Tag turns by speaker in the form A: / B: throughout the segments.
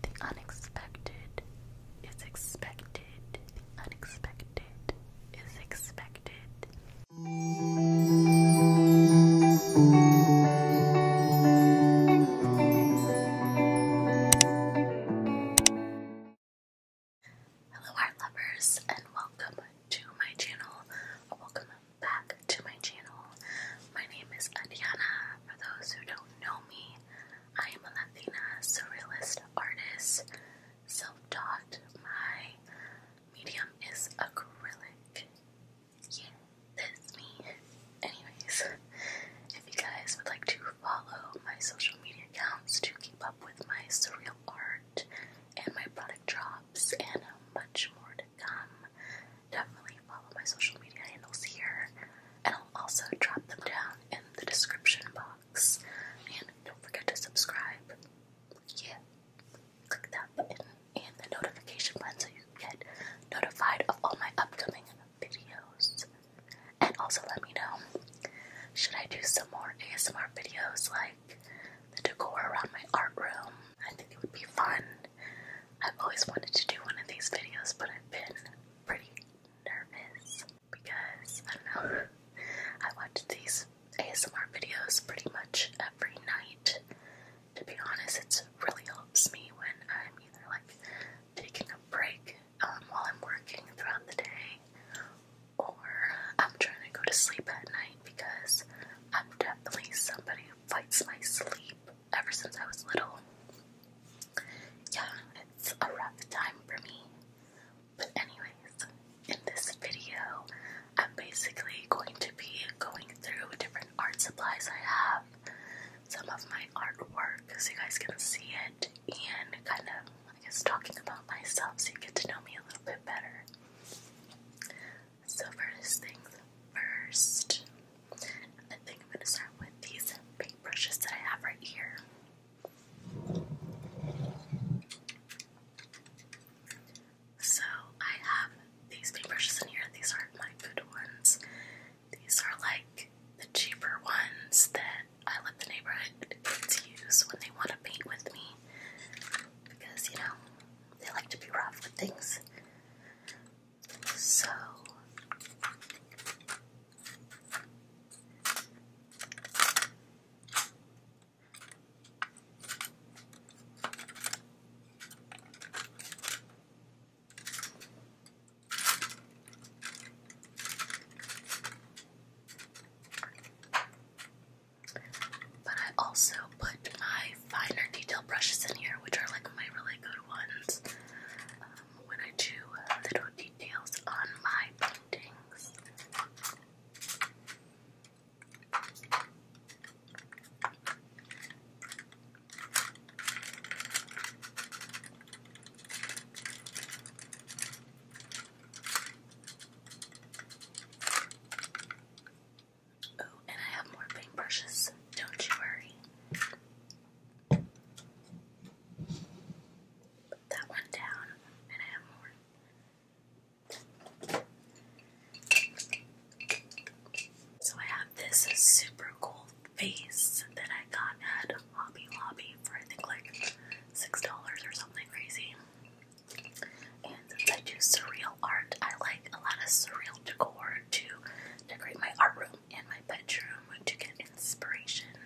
A: The unexpected is expected. The unexpected is expected. Hello, art lovers, and welcome to my channel. welcome back to my channel. My name is Adiana. For those who don't know me, I am a Latina surrealist artist, self taught. My medium is acrylic. Yeah, that's me. Anyways, if you guys would like to follow my social media accounts to keep up with my surreal art and my product drops and much more to come, definitely follow my social media handles here, and I'll also drop them down in the description box. And don't forget to subscribe. Yeah, click that button and the notification button so you get notified of all my upcoming videos. And also let me know should I do some more ASMR videos like the decor around my art room? I think it would be fun. I've always wanted to do one of these videos, but I've been pretty nervous because I don't know. I watch these ASMR videos pretty much every night. To be honest, it really helps me when I'm either like taking a break um, while I'm working throughout the day, or I'm trying to go to sleep at night because I'm definitely somebody who fights my sleep ever since I was little yeah, it's a rough time for me. But anyways, in this video, I'm basically going to be going through different art supplies I have, some of my artwork so you guys can see it, and kind of, I talking about myself so you get to know me a little bit better. So first things first, I think I'm gonna start with these paint brushes that I have right here. So I have these paint brushes in here. These aren't my good ones. These are like the cheaper ones that I let the neighborhood kids use when they want to paint with me. Because, you know, they like to be rough with things. So but I also put my finer detail brushes in here, which are like my really good ones when I do little details on my paintings. Oh, and I have more paintbrushes, don't you worry that one down, and I have more. So I have this super cool vase that I got at Hobby Lobby for I think like six dollars or something crazy. And since I do surreal art, I like a lot of surreal decor to decorate my art room and my bedroom to get inspiration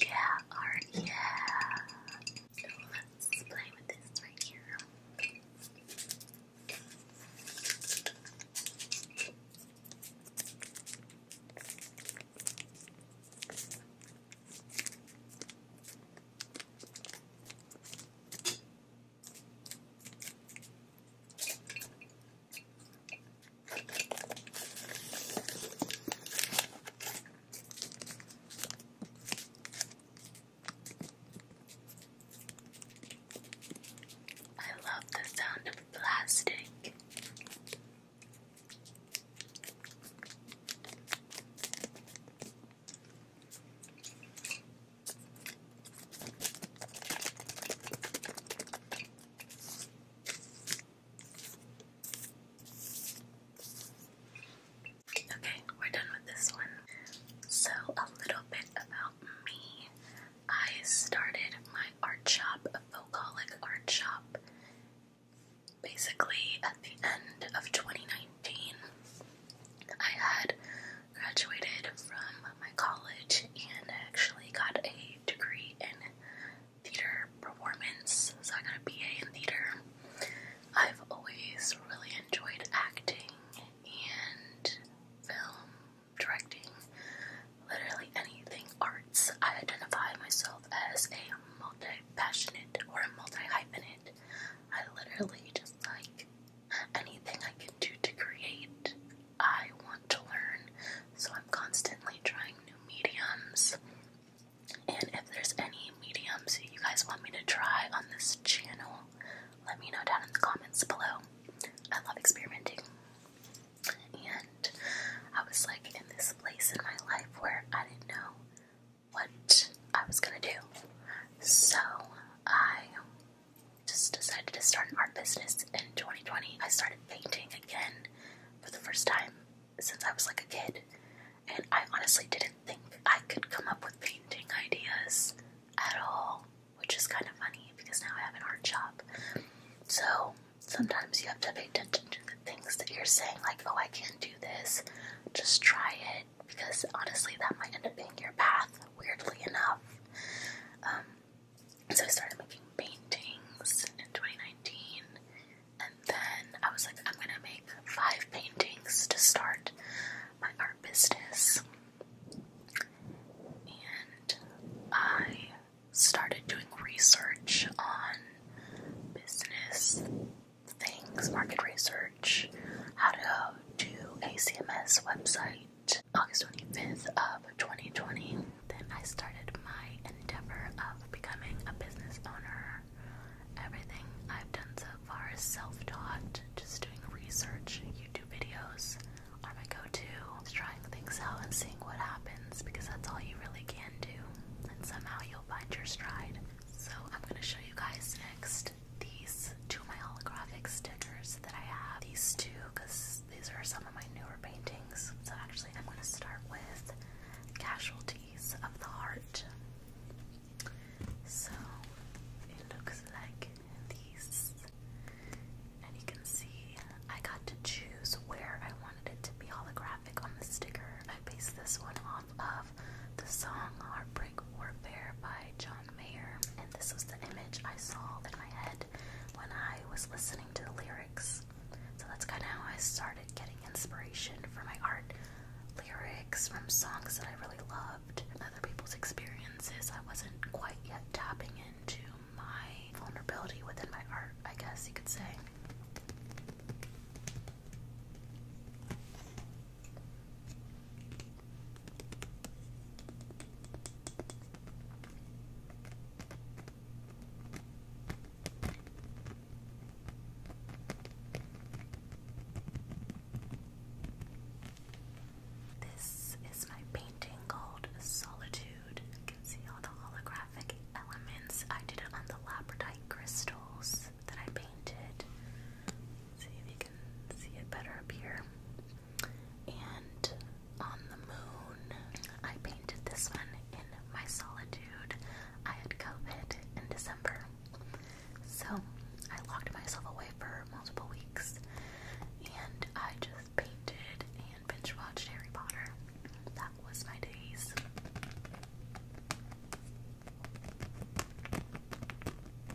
A: Yeah, or yeah. Let's play with this right here. I love the sound of plastic. Okay, we're done with this one. So, a little bit about me. I started my art shop, a art shop, basically at the end of 2019. I had graduated from my college and actually got a degree in theater performance. So I got a BA in theater. I've always really enjoyed acting and film, directing, literally anything arts. I identify myself as a multi passionate or a multi hyphenate. I literally just like anything I can do to create. I want to learn, so I'm constantly trying new mediums. And if there's any mediums you guys want me to try on this channel, let me know down in the comments below. I love experimenting. And I was like in this place in my life where I didn't know what I was gonna do. So I just decided to start an art business in 2020. I started painting again for the first time since I was like a kid, and I honestly didn't think I could come up with painting ideas at all, which is kind of funny because now I have an art job. So sometimes you have to pay attention to the things that you're saying, like, oh, I can't do this, just try it because honestly, that might end up being your path, weirdly enough. Um, so I started making paintings in 2019, and then I was like, I'm gonna make five paintings to start my art business. And I started doing research on business things, market research, how to to ACMS website August 25th of 2020. Then I started my endeavor of becoming a business owner. Everything I've done so far is self-taught, just doing research, YouTube videos are go-to, trying things out and seeing what happens because that's all you really can do. And somehow you'll find your stride. So I'm gonna show you guys next these two my holographic stickers that I have. These two, because these are some of my newer paintings. So actually, I'm going to start with Casualties of the Heart. So it looks like these. And you can see I got to choose where I wanted it to be holographic on the sticker. I based this one off of the song Heartbreak Warfare by John John and this was the image I saw in my head when I was listening to the lyrics. So that's kind of how I started getting inspiration for my art lyrics from songs that I really loved, other people's experiences. I wasn't quite yet tapping into my vulnerability within my art, I guess you could say. This is my painting called Solitude. You can see all the holographic elements. I did it on the labradite crystals that I painted. See if you can see it better up here and on the moon. I painted this one in my solitude. I had COVID in December, so I locked myself away for multiple weeks, and I just painted and binge watched Harry Potter. That was my days.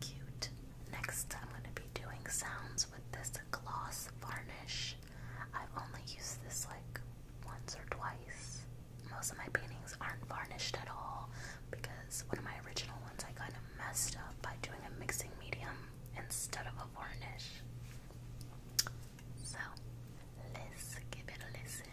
A: Cute. Next, I'm going to be doing sounds with this gloss varnish. I've only used this like once or twice. Most of my paintings aren't varnished at all because one of my original ones I kind of messed up by doing a mixing medium instead of a varnish. So, let's give it a listen.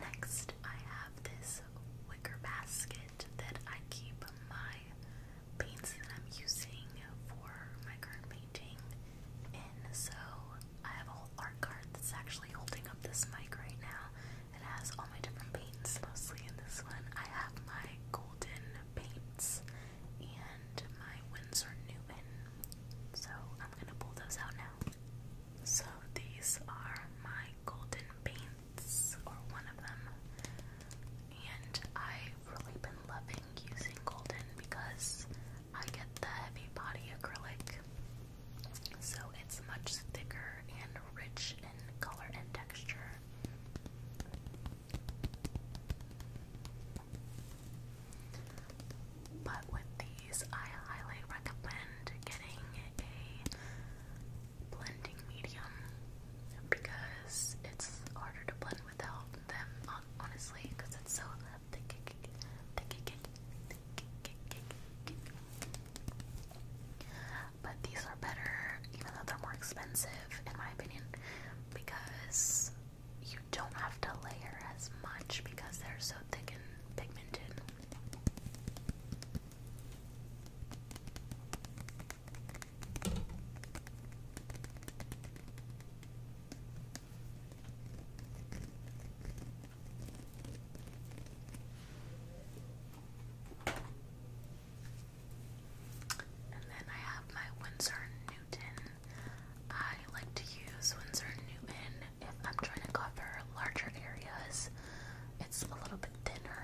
A: Next, I have this wicker basket that I keep my paints that I'm using for my current painting in. So I have a whole art card that's actually holding up this mic right now. It has all my different paints, mostly in this one. I have my golden paints and my Winsor Newton. So I'm gonna pull those out now. So these are my golden paints, or one of them. And I've really been loving using golden because I get the heavy body acrylic. So it's much thicker and rich in color and texture. But with these, I highly recommend getting a blending medium because it's harder to blend without them, honestly, because it's so thick. thick, thick, thick, thick. But these are better, even though they're more expensive, in my opinion, because you don't have to layer as much because they're so thick and pigmented. And then I have my Winsor I like to use Winsor & Newton if I'm trying to cover larger areas. It's a little bit thinner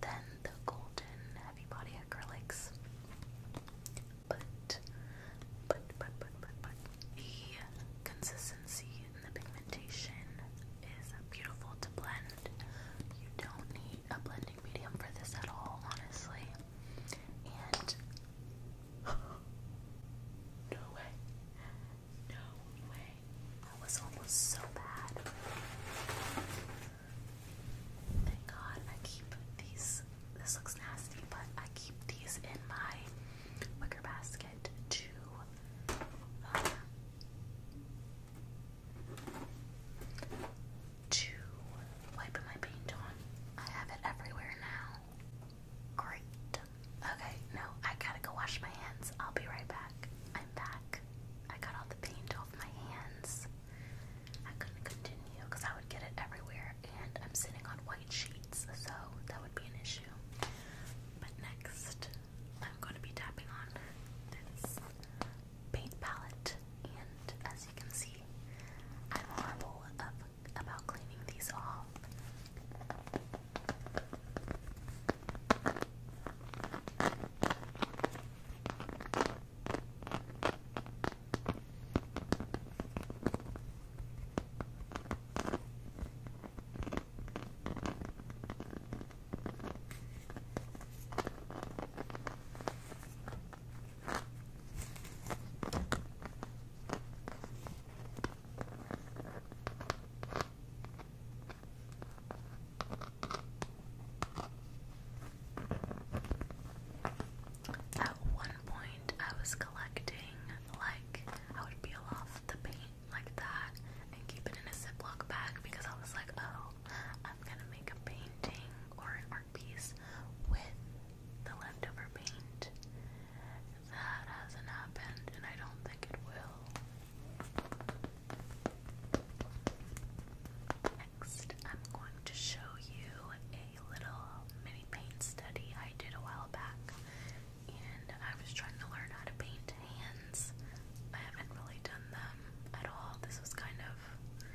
A: than the Golden Heavy Body Acrylics. But, but, but, but, but, but, the consistency and the pigmentation is beautiful to blend. You don't need a blending medium for this at all, honestly. And no way. No way. That was almost so bad. Thank God I keep these. This looks nasty, but I keep these in my wicker basket to uh, to wipe my paint on. I have it everywhere now. Great. Okay, no, I gotta go wash my hands. I'll be right back. I'm back. I got all the paint off my hands. I couldn't continue because I would get it everywhere, and I'm sitting on white sheets, so that would be an issue. But next, I'm going to be tapping on this paint palette, and as you can see, I'm horrible of about cleaning these off. At one point, I was collecting, like, I would peel off the paint like that and keep it in a Ziploc bag because I was like, oh, I'm gonna make a painting or an art piece with the leftover paint. That hasn't happened, and I don't think it will. Next, I'm going to show you a little mini paint study I did a while back, and I was trying to learn how to paint hands. I haven't really done them at all. This was kind of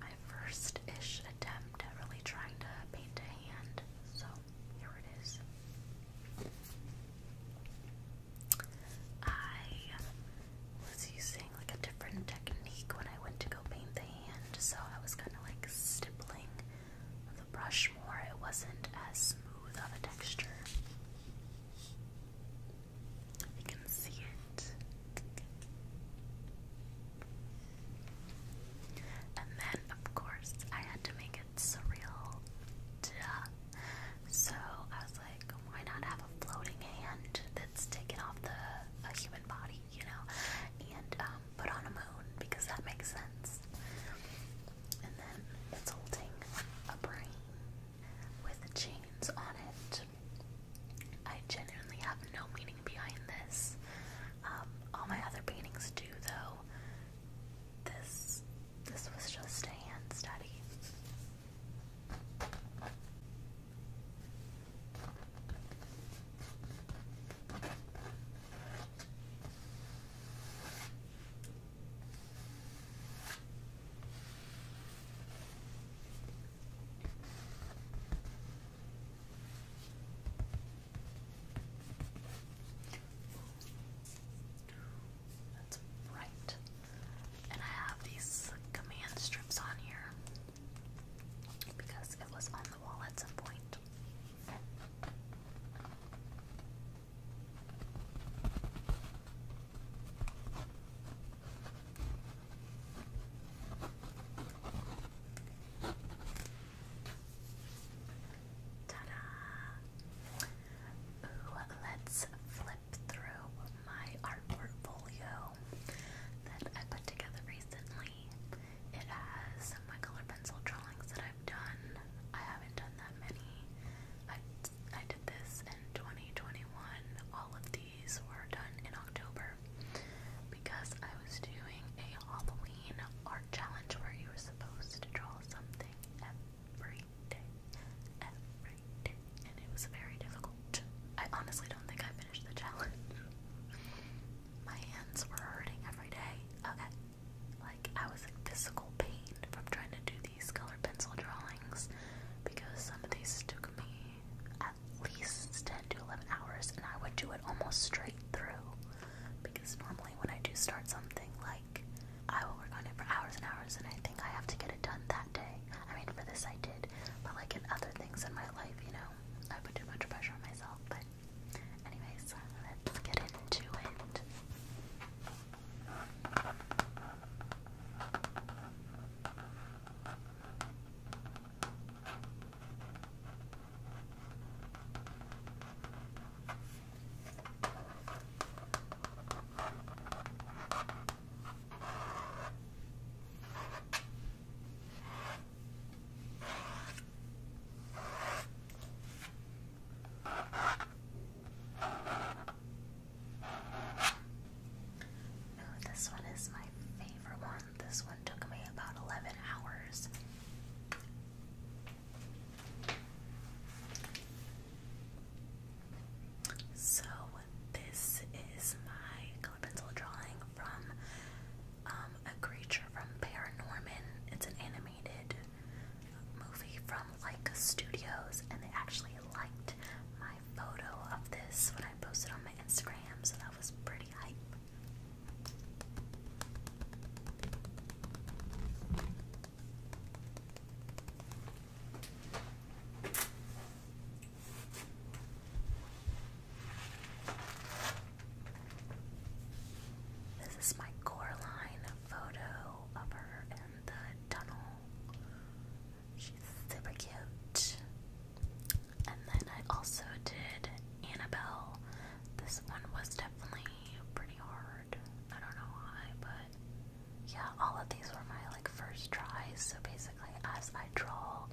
A: my first ish attempt at really trying to paint a hand, so here it is. I was using like a different technique when I went to go paint the hand, so I was kind of like stippling the brush more. It wasn't as smooth of a texture. You can see it. And then, of course, I had to make it surreal. Duh. So I was like, why not have a floating hand that's taken off the a human body, you know, and um, put on a moon because that makes sense. And then it's holding a brain with chains on it. I genuinely have no meaning behind this. Um, all my other paintings do though. This this was just a hand study. That's bright. And I have these command strips on here because it was on the wall at some point let's flip through my art portfolio that I put together recently. It has some my color pencil drawings that I've done. I haven't done that many. I, I did this in 2021. All of these were done in October because I was doing a Halloween art challenge where you were supposed to draw something every day. Every day. And it was very difficult. I honestly don't think I finished the challenge. My hands were hurting every day. Okay. Uh, like, I was in physical pain from trying to do these color pencil drawings because some of these took me at least 10 to 11 hours, and I would do it almost straight through because normally when I do start something, like I will work on it for hours and hours, and I think I have to get it done that day. I mean, for this I did, but like in other things in my life, you know, I put too much pressure on myself. But, anyways, let's get into it. Now this one is my favorite one. This one took me about 11 hours. So, this is my color pencil drawing from um, A Creature from Paranorman. It's an animated movie from Leica Studios, and they actually liked my photo of this when I posted on my Instagram, so that was pretty hype. This is my Coraline photo of her in the tunnel. She's super cute. And then I also did Annabelle this one was definitely pretty hard. I don't know why, but yeah, all of these were my like first tries. So basically, as I draw,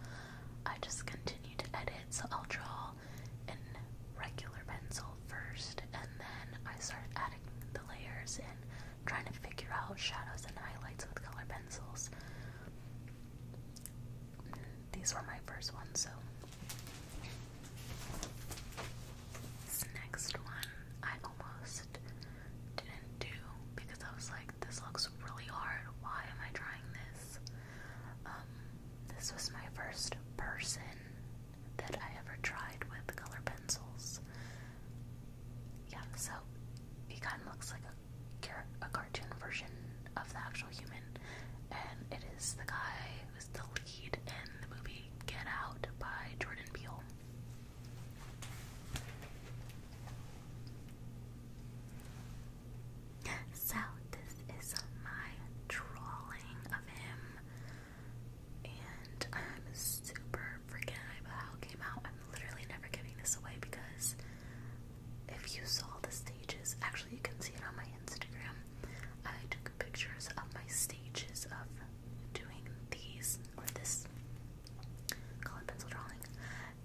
A: I just continue to edit. So I'll draw in regular pencil first, and then I started adding the layers and trying to figure out shadows and highlights with color pencils. These were my first ones, so this next one I almost didn't do because I was like, this looks really hard. Why am I trying this? Um, this was my first person that I ever tried with color pencils. Yeah, so he kind of looks like a cartoon version of the actual human, and it is the guy was the lead in the movie Get Out by Jordan Peele. So, this is my drawing of him, and I'm super freaking hyped about how it came out. I'm literally never giving this away because if you saw the stages, actually, you can see it on my Instagram. I took pictures of my stages of doing these or this colored pencil drawing,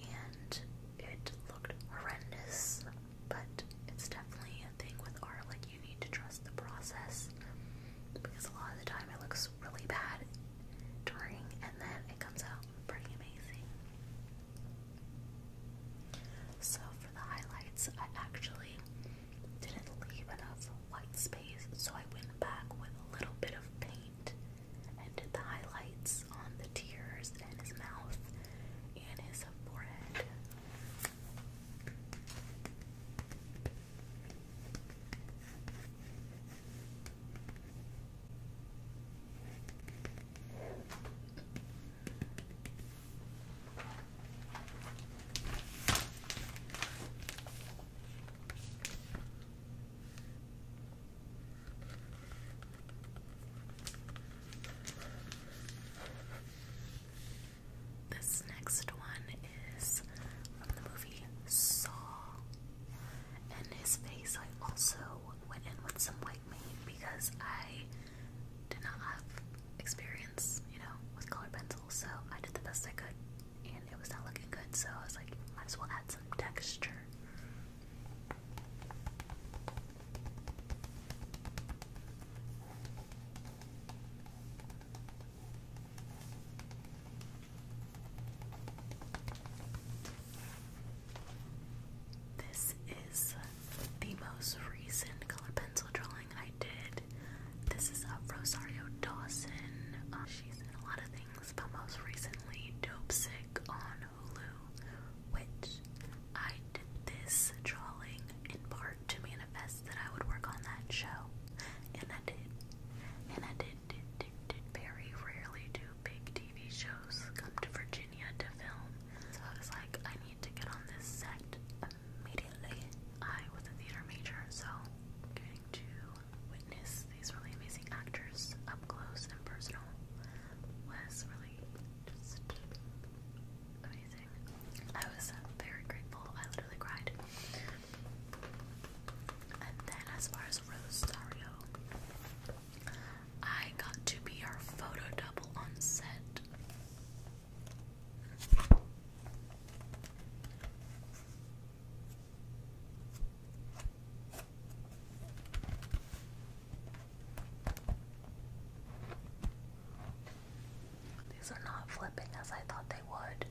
A: and it looked horrendous. But it's definitely a thing with art, like you need to trust the process because a lot of the time it looks really bad during, and then it comes out pretty amazing. So for the highlights, I actually didn't leave enough white space, so I went back with a little bit of paint and did the highlights on the tears and his mouth and his forehead. This next one is from the movie Saw, and his face I also went in with some white paint because I did not have experience you know, with colored pencils, so I did the best I could, and it was not looking good, so I was like, might as well add some texture. This is the most recent color pencil drawing I did. This is of uh, Rosario Dawson. Um, she's in a lot of things, but most recently, Dope Sick on Hulu, which I did this drawing in part to manifest that I would work on that show, and I did. And I did, did, did, did very rarely do big TV shows come to Virginia to film. So I was like, I need to get on this set immediately. I was a theater major, so getting to witness these really amazing actors up close and personal was really just amazing. I was very grateful. I literally cried. And then, as far as Rosario, I got to be her photo double on set. These are not flipping as I thought they would.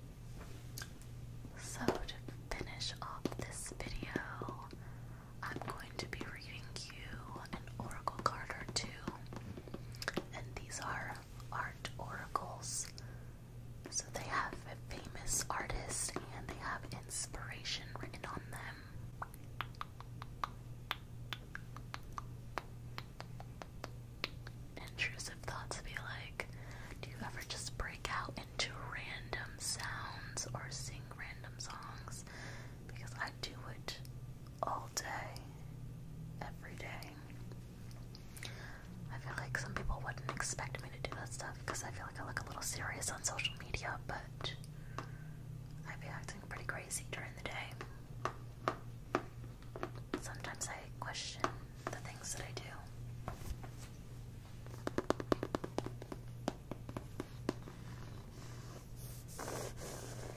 A: So, to finish off this video, I'm going to be reading you an oracle card or two. And these are art oracles. So they have a famous artist and they have inspiration written on them. Intrusive thoughts be like, do you ever just break out into random sounds or sing random songs? Because I do it all day, every day. I feel like some people wouldn't expect me to do that stuff because I feel like I look a little serious on social media, but I'd be acting pretty crazy during the day. Sometimes I question the things that I do.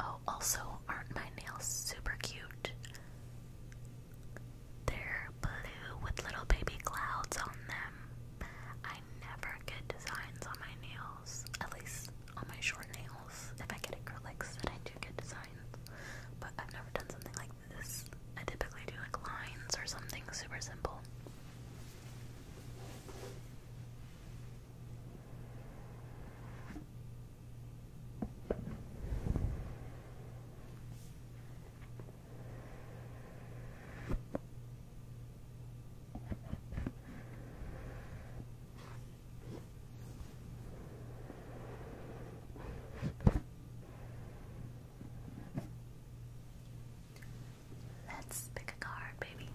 A: Oh, also, aren't my nails super cute? They're blue with little baby clouds on them. I never get designs on my nails, at least on my short nails. If I get acrylics, then I do get designs. But I've never done something like this. I typically do like lines or something super simple. Let's pick a card, baby.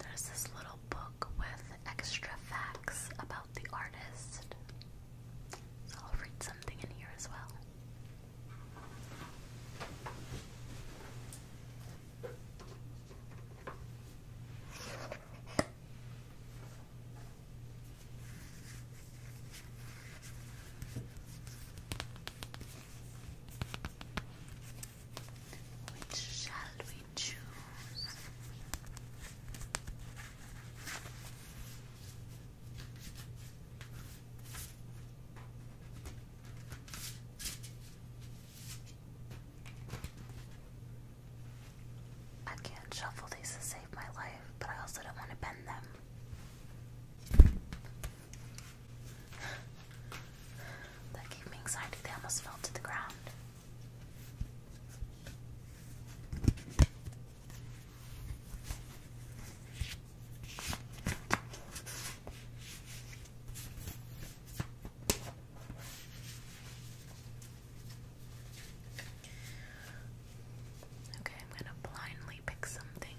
A: There's this little book with extra facts about the artist. So I'll read something in here as well. Which shall we choose? I can't shuffle these to save my life, but I also don't want to bend them. That gave me anxiety, they almost fell to the ground. Okay, I'm going to blindly pick something.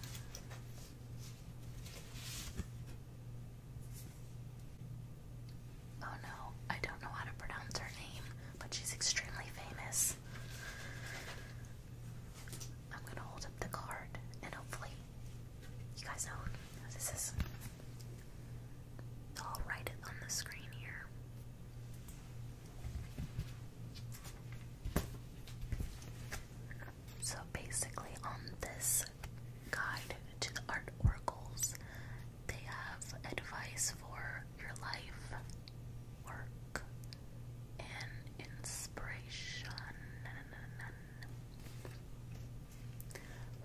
A: Oh no, I don't know how to pronounce her name, but she's extremely famous. I'm gonna hold up the card and hopefully you guys know who this is. I'll write it on the screen here. So basically, on this guide to the art oracles, they have advice for your life, work, and inspiration.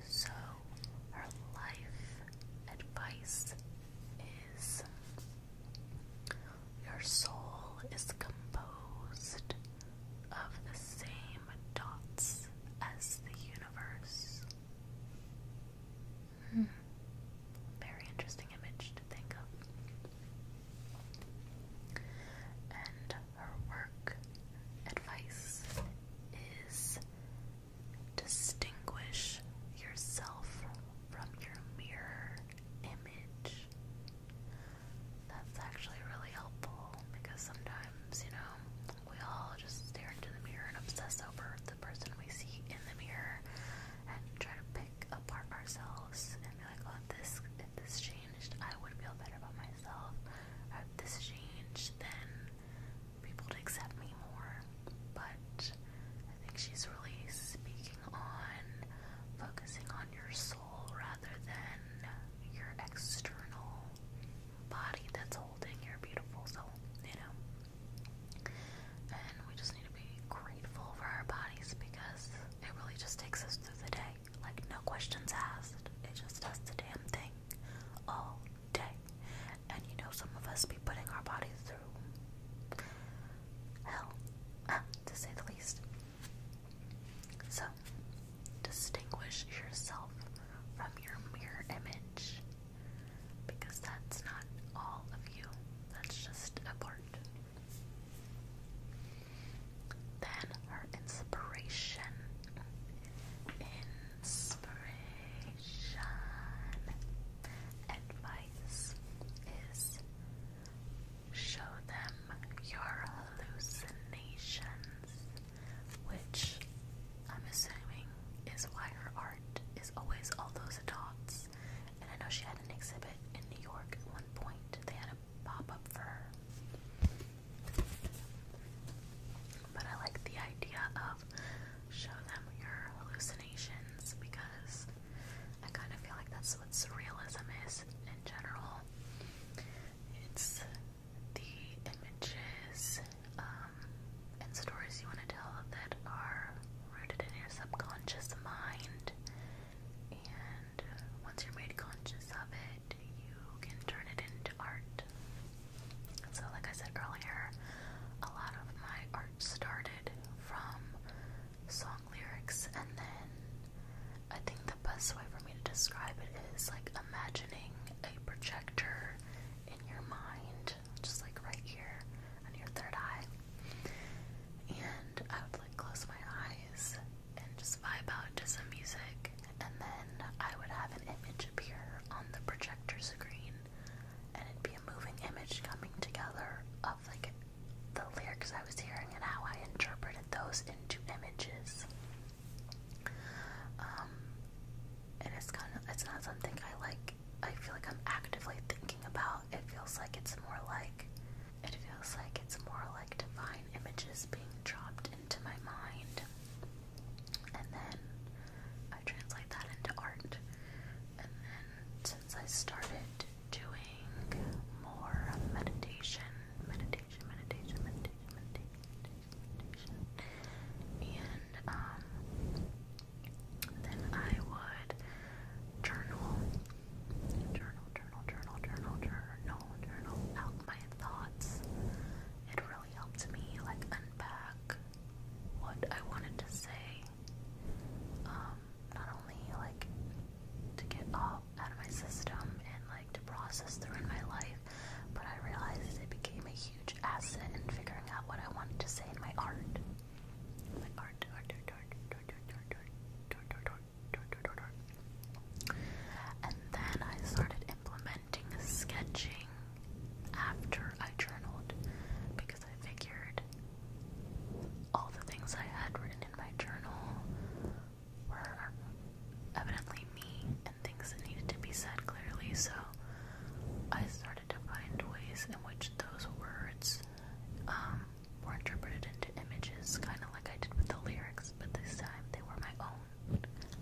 A: So, her life advice is your soul is composed of the same dots as the universe. Hmm. Very interesting image to think of. And her work advice is distinguish yourself from your mirror image. That's actually really helpful because sometimes, you know, we all just stare into the mirror and obsess over the person we see in the mirror and try to pick apart ourselves and be like, oh, if this, if this changed, I would feel better about myself. Or if this changed, then people would accept me more. But I think she's really speaking on focusing on your soul rather than your external body that's holding your beautiful soul, you know? And we just need to be grateful for our bodies because it really just takes us through the day. Like, no questions asked. It just does the damn thing all day. And you know, some of us be putting our bodies through hell, to say the least. So, distinguish yourself from your mirror image because that's not all of you, that's just a part. Then her inspiration. Inspiration advice is show them your hallucinations, which I'm assuming is why her art is always all those dots. Texas. And I know she had an exhibit in New York at one point. They had a pop up for her. But I like the idea of show them your hallucinations because I kind of feel like that's what surrealism is in general. It's the images um, and stories you want to tell that are rooted in your subconscious mind. And once you're made conscious of it, you can turn it into art. So, like I said earlier, a lot of my art started from song lyrics, and then I think the best way for me to describe it is like imagining a projector in your mind just like right here on your third eye. And I would like close my eyes and just vibe out to some music, and then I would have an image appear on the projector screen, and it'd be a moving image coming together of like the lyrics I was hearing and how I interpreted those into images. Um, and it's kind of it's not something I like I feel like I'm actively thinking about. It feels like it's more like it feels like it's more like divine images being dropped into my mind. And then I translate that into art. And then since I started doing more meditation, meditation, meditation, meditation, meditation, meditation, meditation and um then I would journal, journal, journal, journal, journal, journal, journal out my thoughts. It really helped me like unpack what I wanted to say. Um, not only like to get all out of my system and like to process through in my life, but I realized it became a huge asset in figuring out what I wanted to say in my art. And then I started implementing sketching after I journaled because I figured all the things I had written in my journal were evidently me and things that needed to be said clearly, so I started to find ways in which those words um, were interpreted into images, kind of like I did with the lyrics, but this time they were my own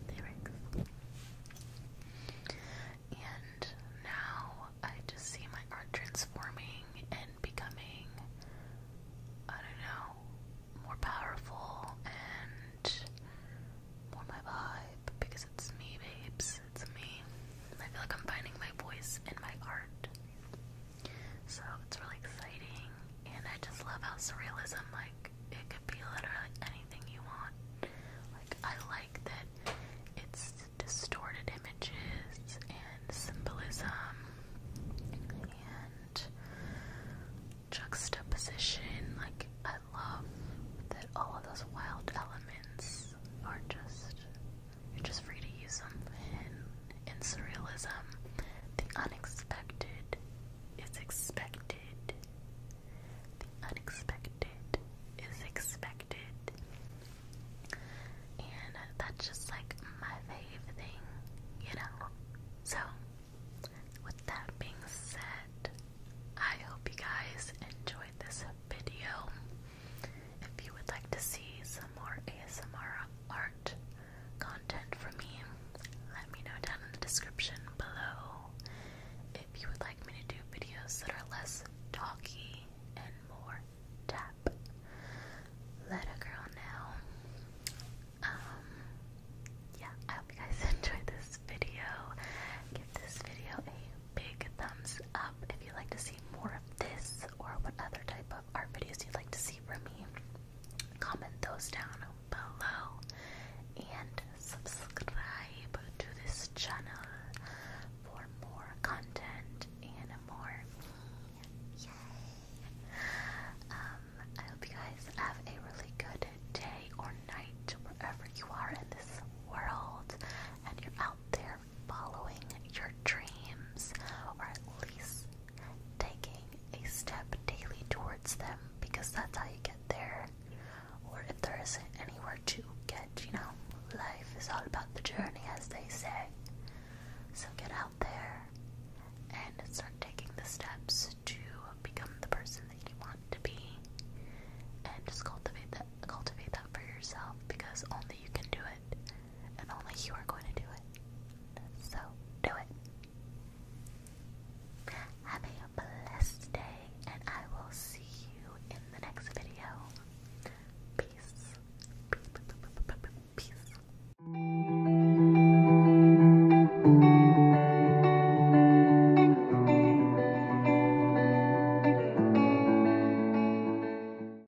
A: lyrics. And now I just see my art transforming and becoming, I don't know, more powerful and more my vibe because it's me, babes. It's me. I feel like I'm finding my voice in my art. So it's really exciting, and I just love how surrealism, like, it could be literally anything you want. Like, I like that it's distorted images and symbolism and juxtaposition. Like, I love that all of those wild elements are just you're just free to use them in, in surrealism. The unexpected is expected. The unexpected is expected. And that's just like my favorite thing, you know? So, with that being said, I hope you guys enjoyed this video. If you would like to see some more ASMR art content from me, let me know down in the description below. If you would like me to do videos that are less talky and more tap, let a girl know. Um, yeah, I hope you guys enjoyed this video. Give this video a big thumbs up if you like to see more of this or what other type of art videos you'd like to see from me, comment those down below and subscribe to this channel for more content and more me. Yay! Um, I hope you guys have a really good day or night wherever you are in this world and you're out there following your dreams or at least taking a step daily towards them because that's how you get there. Or if there isn't anywhere to get, you know, life is all about the journey, as they say. So get out there and start taking the steps to become the person that you want to be, and just cultivate that cultivate that for yourself because only you can do it and only you are going to do it. So do it. Have a blessed day, and I will see you in the next video. Peace. Peace.